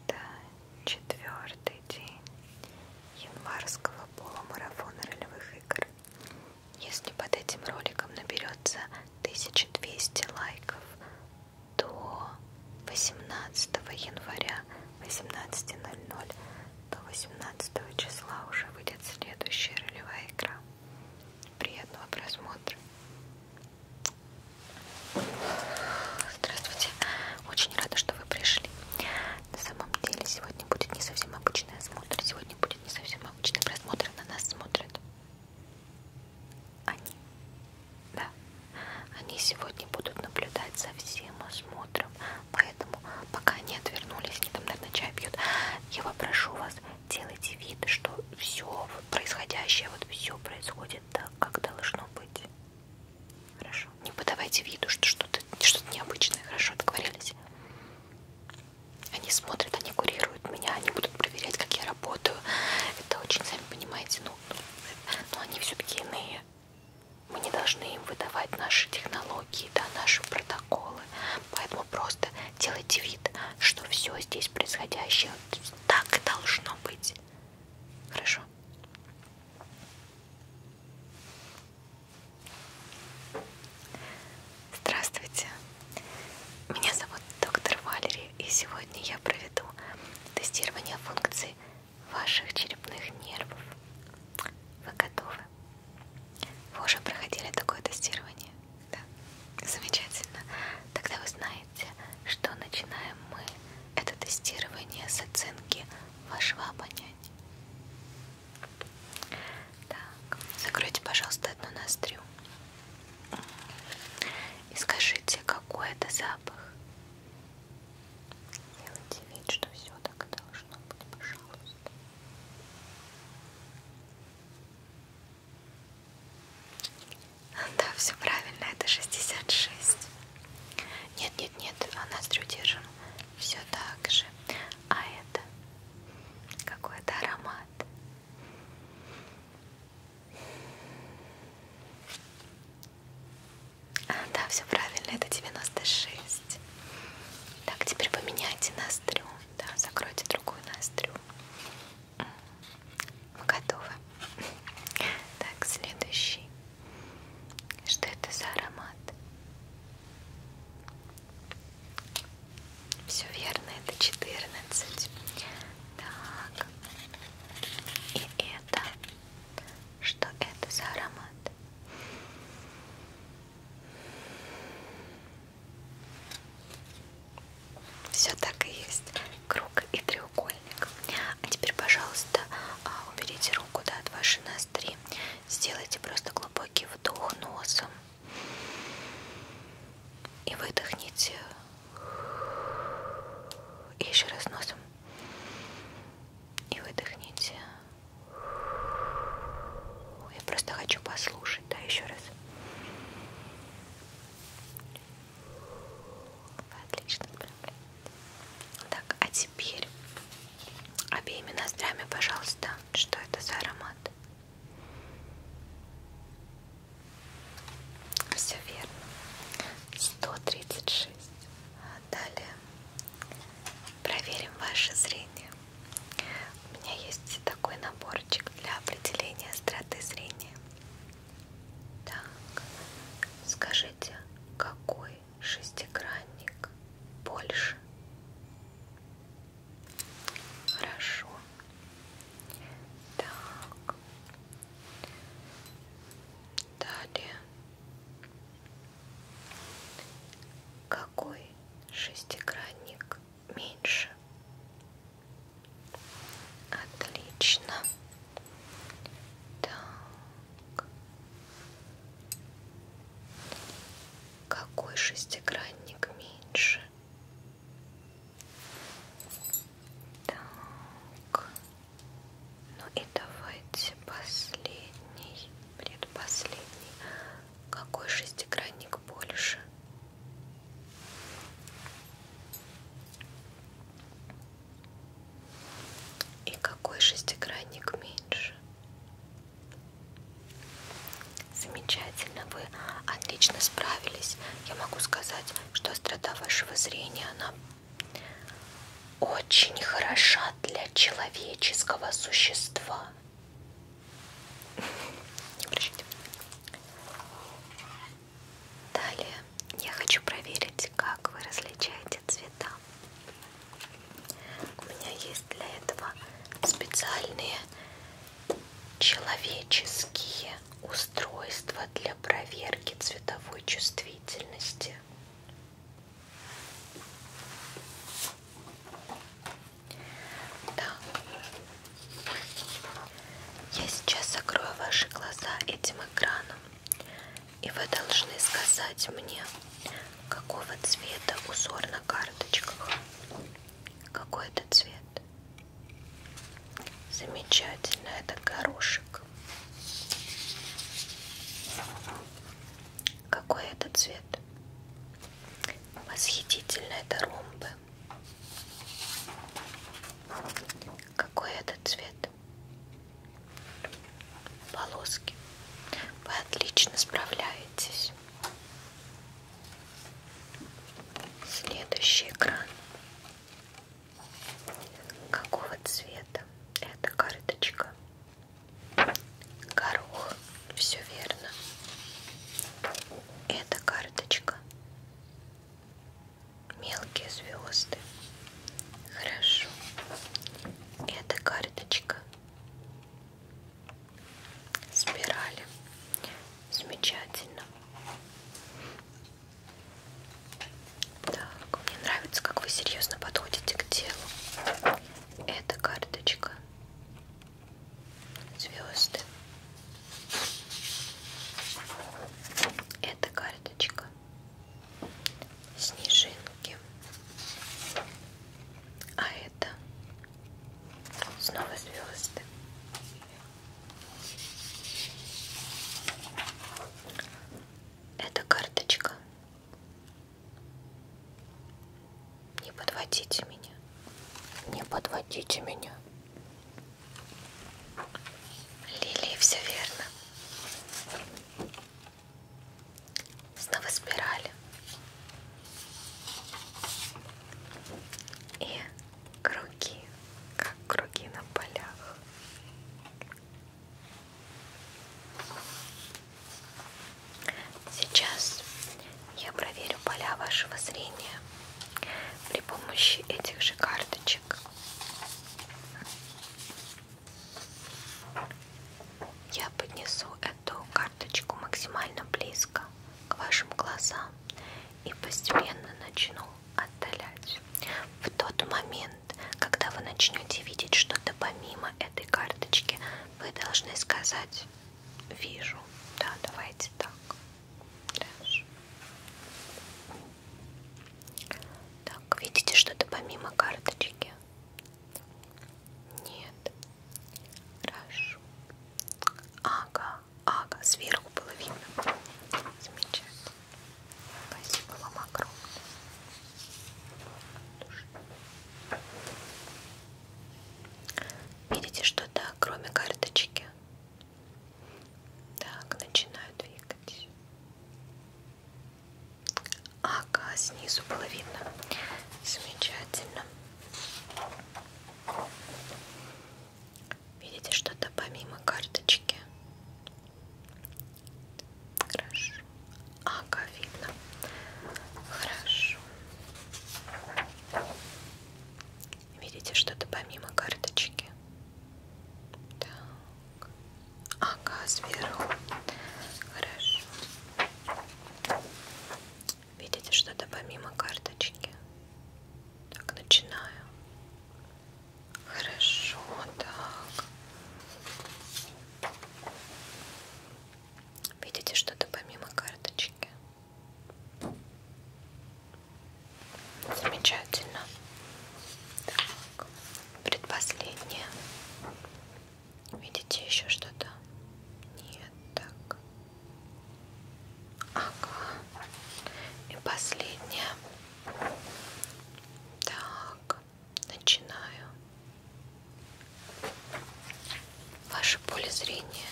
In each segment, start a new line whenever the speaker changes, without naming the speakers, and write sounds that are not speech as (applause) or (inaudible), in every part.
Это четвертый день январского полумарафона ролевых игр. Если под этим роликом наберется 1200 лайков до 18 января 18.00, до 18 числа уже выйдет следующая ролевая игра. Приятного просмотра! Здравствуйте. Очень рада, что вы пришли. На самом деле сегодня будет не совсем обычный осмотр. Сегодня будет не совсем обычный просмотр. На нас смотрят они. Да. Они сегодня будут наблюдать за всем осмотром. Поэтому пока они отвернулись, они там, наверное, чай пьют, я попрошу вас, делайте вид, что все происходящее, вот все происходит выглядит так, как должно быть. Хорошо. Не подавайте виду, что что-то что необычное. Хорошо, договорились? Они смотрят, они курируют меня, они будут проверять, как я работаю. Это очень, сами понимаете, ну, ну, ну они все-таки иные. Мы не должны им выдавать наши технологии, да, наши протоколы. Поэтому просто делайте вид, что все здесь происходящее так и должно быть. Хорошо. Здравствуйте. Меня зовут доктор Валерий, и сегодня я проведу тестирование функций ваших черепных нервов. Вы готовы? Вы уже проходили такое тестирование? Да. Замечательно. Тогда вы знаете, Помните, что начинаем мы это тестирование с оценки вашего обоняния. Так, закройте, пожалуйста, одну ноздрю. И скажите, какой это запах. Делайте вид, что все так и должно быть, пожалуйста. Да, все правильно, это 66. Нет, нет, нет, а ноздрю держим все так же. А это какой-то аромат. А, да, все правильно, это 96. Так, теперь поменяйте ноздрю. Да, закройте другую ноздрю. Мы готовы. Так, следующий. Что это за аромат? Все верно, это 14. Так. И это. Что это за аромат? Все так и есть. Круг и треугольник. А теперь, пожалуйста, а, уберите руку да, от вашей ноздри. Сделайте просто глубокий вдох носом. И выдохните. И еще раз носом. И выдохните. Я просто хочу послушать, да, еще раз. Вы отлично справляетесь. Так, а теперь обеими ноздрями, пожалуйста, что это за аромат? Все верно. 136. Далее проверим ваше зрение. У меня есть такой наборчик для определения остроты зрения. Так, скажите, какой шестигранник больше? Хорошо. Так. Далее. Какой шестигранник меньше? Отлично. Так. Какой шестигранник меньше? Так. Ну и давайте последний, предпоследний. Какой шестигранник больше? И какой шестигранник меньше? Замечательно, вы отлично справились. Я могу сказать, что острота вашего зрения, она очень хороша для человеческого существа. (laughs) Не обращайте Далее я хочу проверить, как вы различаете цвета. У меня есть для этого специальные человеческие устройства для проверки цветовой чувствительности. Так, я сейчас закрою ваши глаза этим экраном, и вы должны сказать мне, какого цвета узор на карточках. Какой это цвет? Замечательно, это горошек. Какой это цвет? Восхитительно, это ромбы. Какой это цвет? Полоски. Вы отлично справляетесь. Следующий экран. Какого цвета эта карточка? Горох. Все верно. Эта карточка мелкие звезды. Хорошо. Это карточка спирали. Замечательно. Так, мне нравится, как вы серьезно подходите к делу. Это карточка звезды. Это карточка снежинки, а это снова звезды. Это карточка. Не подводите меня. Не подводите меня. Лилии все верно. Снова спирали. И круги, как круги на полях. Сейчас я проверю поля вашего зрения при помощи этих же карточек я поднесу эту карточку максимально близко к вашим глазам и постепенно начну отдалять. В тот момент, когда вы начнете видеть что-то помимо этой карточки, вы должны сказать «Вижу». Да, давайте так. Хорошо. Так, видите что-то помимо карточки? Нет. Хорошо. Ага, ага, сверху было видно. Замечательно. Спасибо вам огромное. Видите что-то, кроме карточки? Так, начинаю двигать. Ага, снизу было видно. Замечательно. Видите что-то помимо карточки? Хорошо. Ага, видно. Хорошо. Видите что-то помимо карточки? Так. Ага, сверху. Хорошо. Видите что-то помимо карточки? Так, начинаю. Хорошо, так. Видите что-то помимо карточки? Замечательно. Так, предпоследнее. Видите еще что-то? Нет, так. Ага. И последнее. Так, начинаю. Ваше поле зрения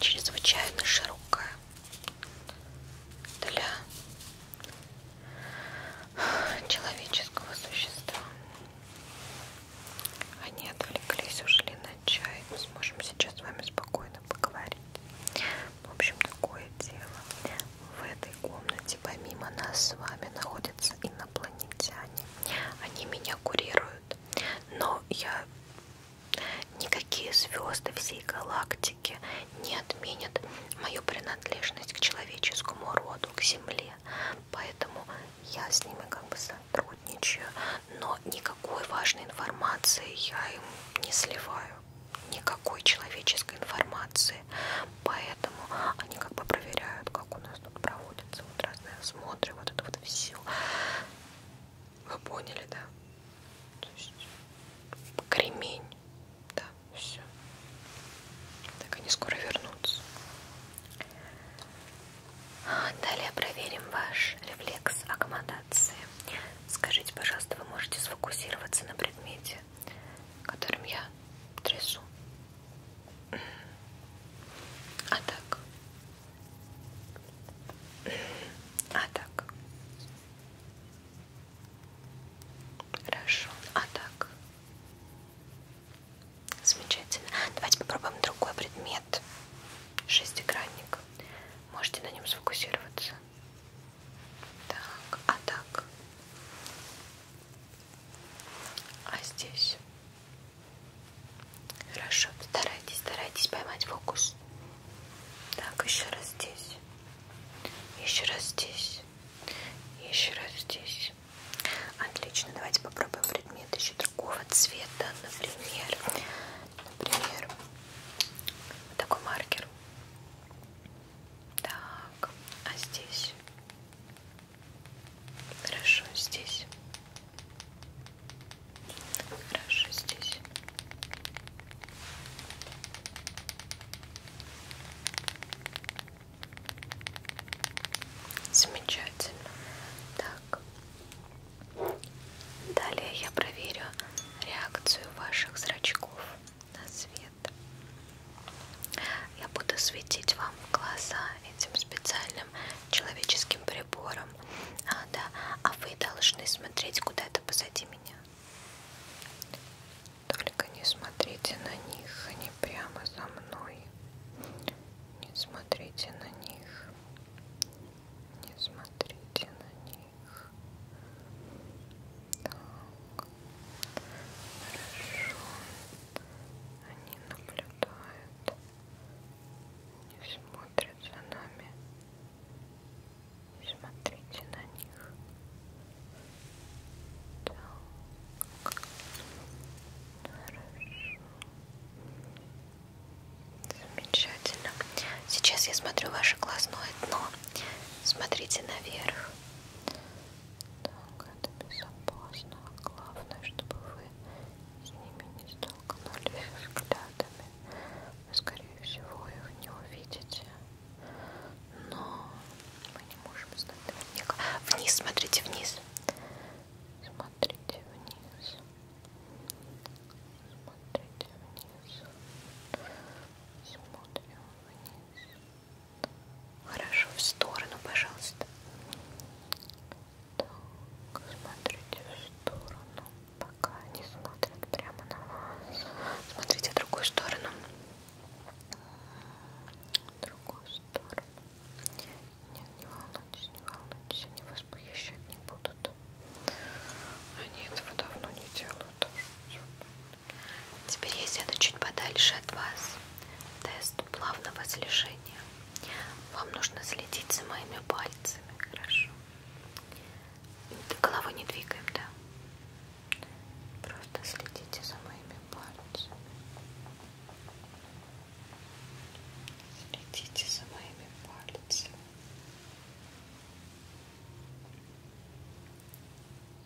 чрезвычайно широкое для человеческого существа. Они отвлеклись, ушли на чай. Мы сможем сейчас с вами спокойно поговорить. В общем, такое дело. В этой комнате помимо нас с вами находятся инопланетяне. Они меня курируют. Но я Никакие звезды всей галактики не отменят мою принадлежность к человеческому роду, к Земле. Поэтому я с ними как бы сотрудничаю, но никакой важной информации я им не сливаю. Никакой человеческой информации. Поэтому они как бы проверяют, как у нас тут проводятся вот разные осмотры, вот это вот все. Вы поняли, да? то есть кремень, да, все. Так они скоро вернутся. Далее проверим ваш рефлекс аккомодации. Скажите, пожалуйста, вы можете сфокусироваться на предмете, которым я трясу? А так, а так. Хорошо. А так. Замечательно. Давайте попробуем другой предмет. Шестигранник. Можете на нем сфокусироваться. Так, а так. А здесь. Хорошо, старайтесь, старайтесь поймать фокус. Так, еще раз здесь. Еще раз здесь. Еще раз здесь. Отлично, давайте попробуем предмет еще другого цвета. Например, например, вот такой маркер. Так, а здесь? Хорошо, здесь. Хорошо здесь. Замечательно. Так. Далее я проверю реакцию ваших зрачков на свет. Я буду светить вам в глаза этим специальным обычным человеческим прибором. А, да. а вы должны смотреть куда-то позади меня. Только не смотрите на них, они прямо за мной. Не смотрите на них. Не смотрите на них. Так. Хорошо. Они наблюдают. Не смотрят смотрят за нами. Смотрите на них. Так. Хорошо. Замечательно. Сейчас я смотрю ваше глазное дно. Смотрите наверх. Так, это безопасно. Главное, чтобы вы с ними не столкнулись взглядами. Вы, скорее всего, их не увидите. Но мы не можем знать наверняка. Вниз, смотрите вниз. Смотрите вниз. Смотрите вниз. Смотрим вниз. Хорошо, в сторону, пожалуйста. Так, смотрите в сторону. Пока они смотрят прямо на вас. Смотрите в другую сторону. В другую сторону. Нет, не волнуйтесь, не волнуйтесь. Они вас похищать не будут. Они этого давно не делают. Теперь я сяду чуть подальше от вас. Тест плавного слежения. Вам нужно следить за моими пальцами, хорошо? Головой не двигаем, да? Просто следите за моими пальцами. Следите за моими пальцами.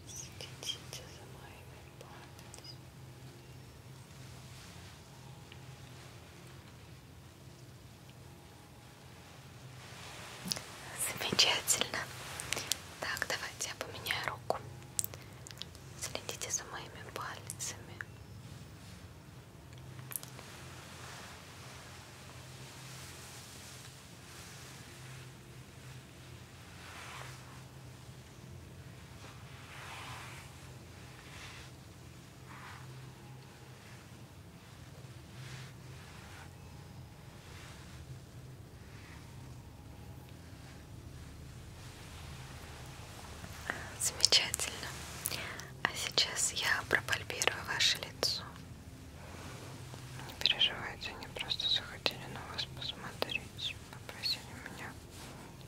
Следите за моими пальцами. Замечательно. Так, давайте я поменяю руку. Следите за моими пальцами. Так, Замечательно. А сейчас я пропальпирую ваше лицо. Не переживайте, они просто захотели на вас посмотреть. Попросили меня,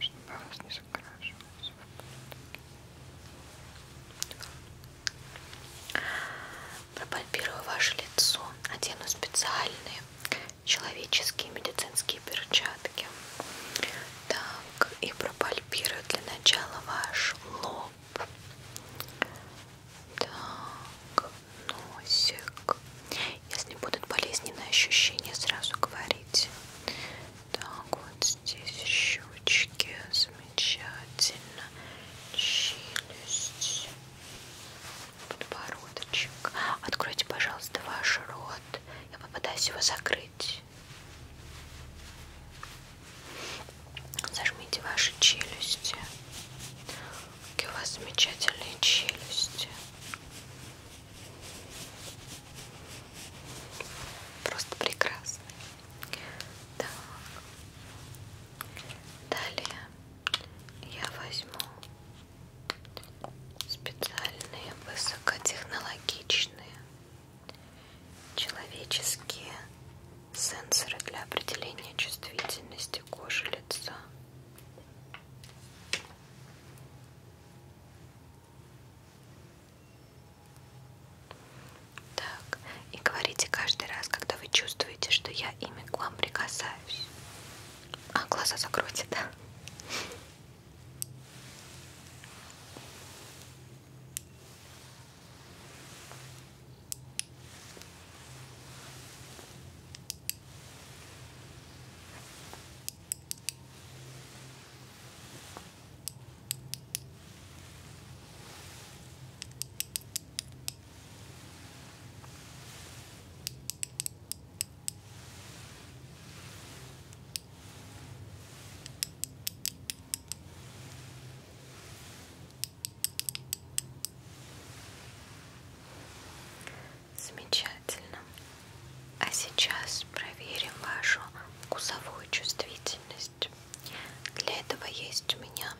чтобы вас не закрашивать. Пропальпирую ваше лицо, одену специальные человеческие медицинские перчатки. Так, и пропальпирую для начала ваш лоб. Так, носик. Если будут болезненные ощущения, сразу говорите так вот здесь щечки замечательно челюсть подбородочек откройте пожалуйста ваш рот я попытаюсь его закрыть зажмите ваши челюсти какие у вас замечательные челюсти Просто прекрасный. Так. Далее я возьму специальные высокотехнологичные человеческие сенсоры для определения чувствительности кожи лица. Так, и говорите каждый раз, когда вы чувствуете, что я ими к вам прикасаюсь. А, глаза закройте, да? Замечательно. А сейчас проверим вашу вкусовую чувствительность. Для этого есть у меня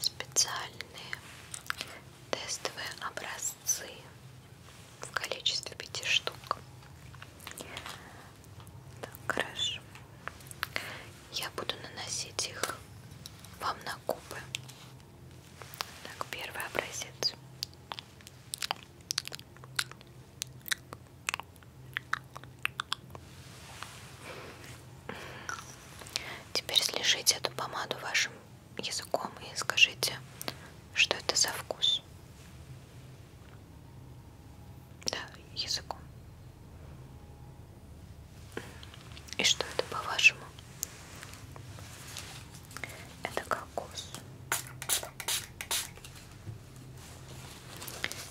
специальные тестовые образцы в количестве пяти штук. Так, хорошо. Я буду наносить их вам на губы. Так, первый образец. Теперь слежите эту помаду вашим языком и скажите, что это за вкус. Да, языком. И что это по-вашему? Это кокос.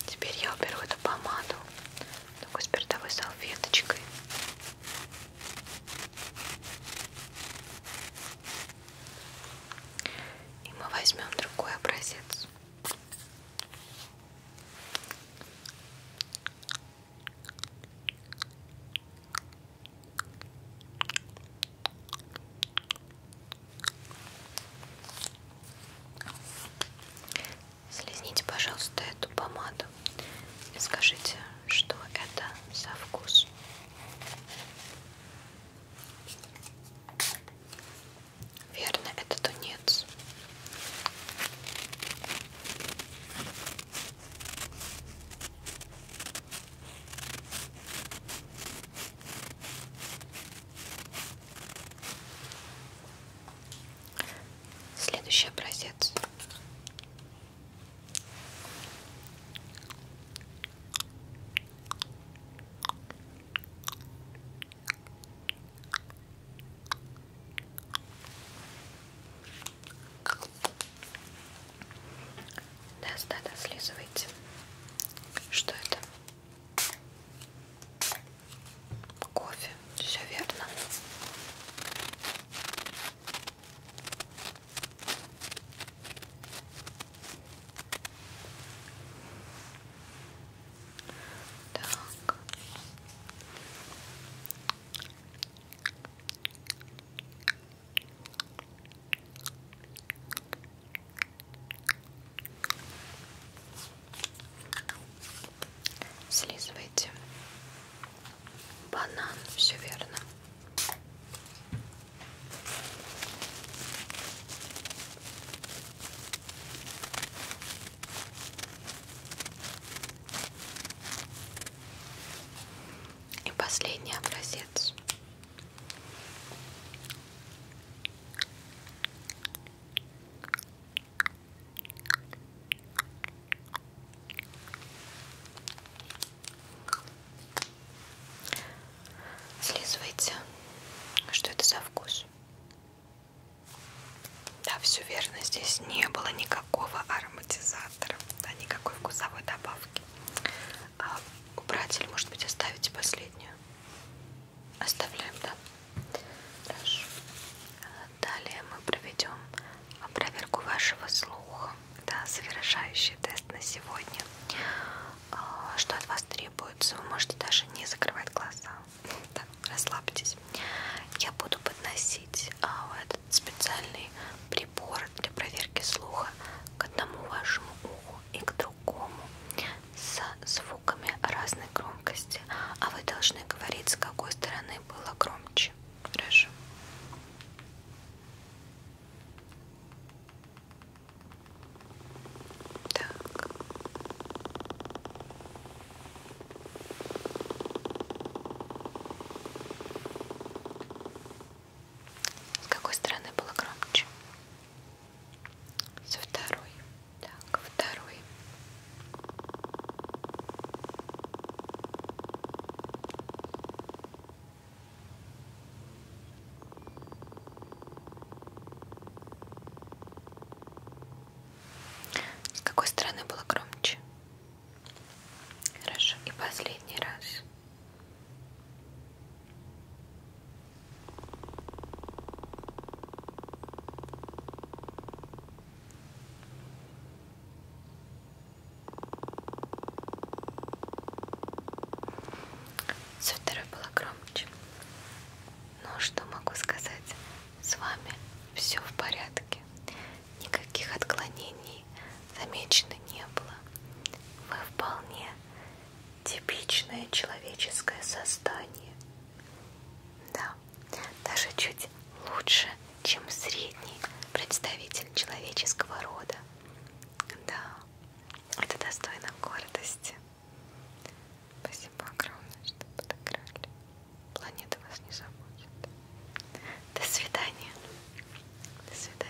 Теперь я уберу эту помаду такой спиртовой салфеточкой. И мы возьмем другой образец. Слезните, пожалуйста, эту помаду и скажите, что это за вкус. Верно, это тунец. Следующий образец. Да, да, да, слизывайте. Что это? Кофе. Все верно. Так. Слизывайте банан, все верно. И последний образец Слизывайте. Что это за вкус? Да, все верно. Здесь не было никакого ароматизатора, да, никакой вкусовой добавки а, убрать или, может быть, оставить последнюю. Оставляем, да? Хорошо. Далее мы проведем проверку вашего слуха. Да, завершающий тест на сегодня. А, что от вас требуется? Вы можете даже не закрывать глаза. Да, расслабьтесь. Я буду подносить а, этот специальный прибор для проверки слуха к одному вашему уху и к другому с звуками разной громкости, а вы должны говорить, с какой стороны было громче. Хорошо. Так. С какой стороны было громче? Со второй. Так, второй. С какой стороны было громче? Хорошо. И последний раз. Все второе было громче. Но что могу сказать? С вами все в порядке. Никаких отклонений изменений замечено не было. Вы вполне типичное человеческое создание. Да, даже чуть лучше, чем средний представитель человеческого рода. Да, это достойно гордости. Спасибо огромное, что подыграли. Планета вас не забудет. До свидания. До свидания.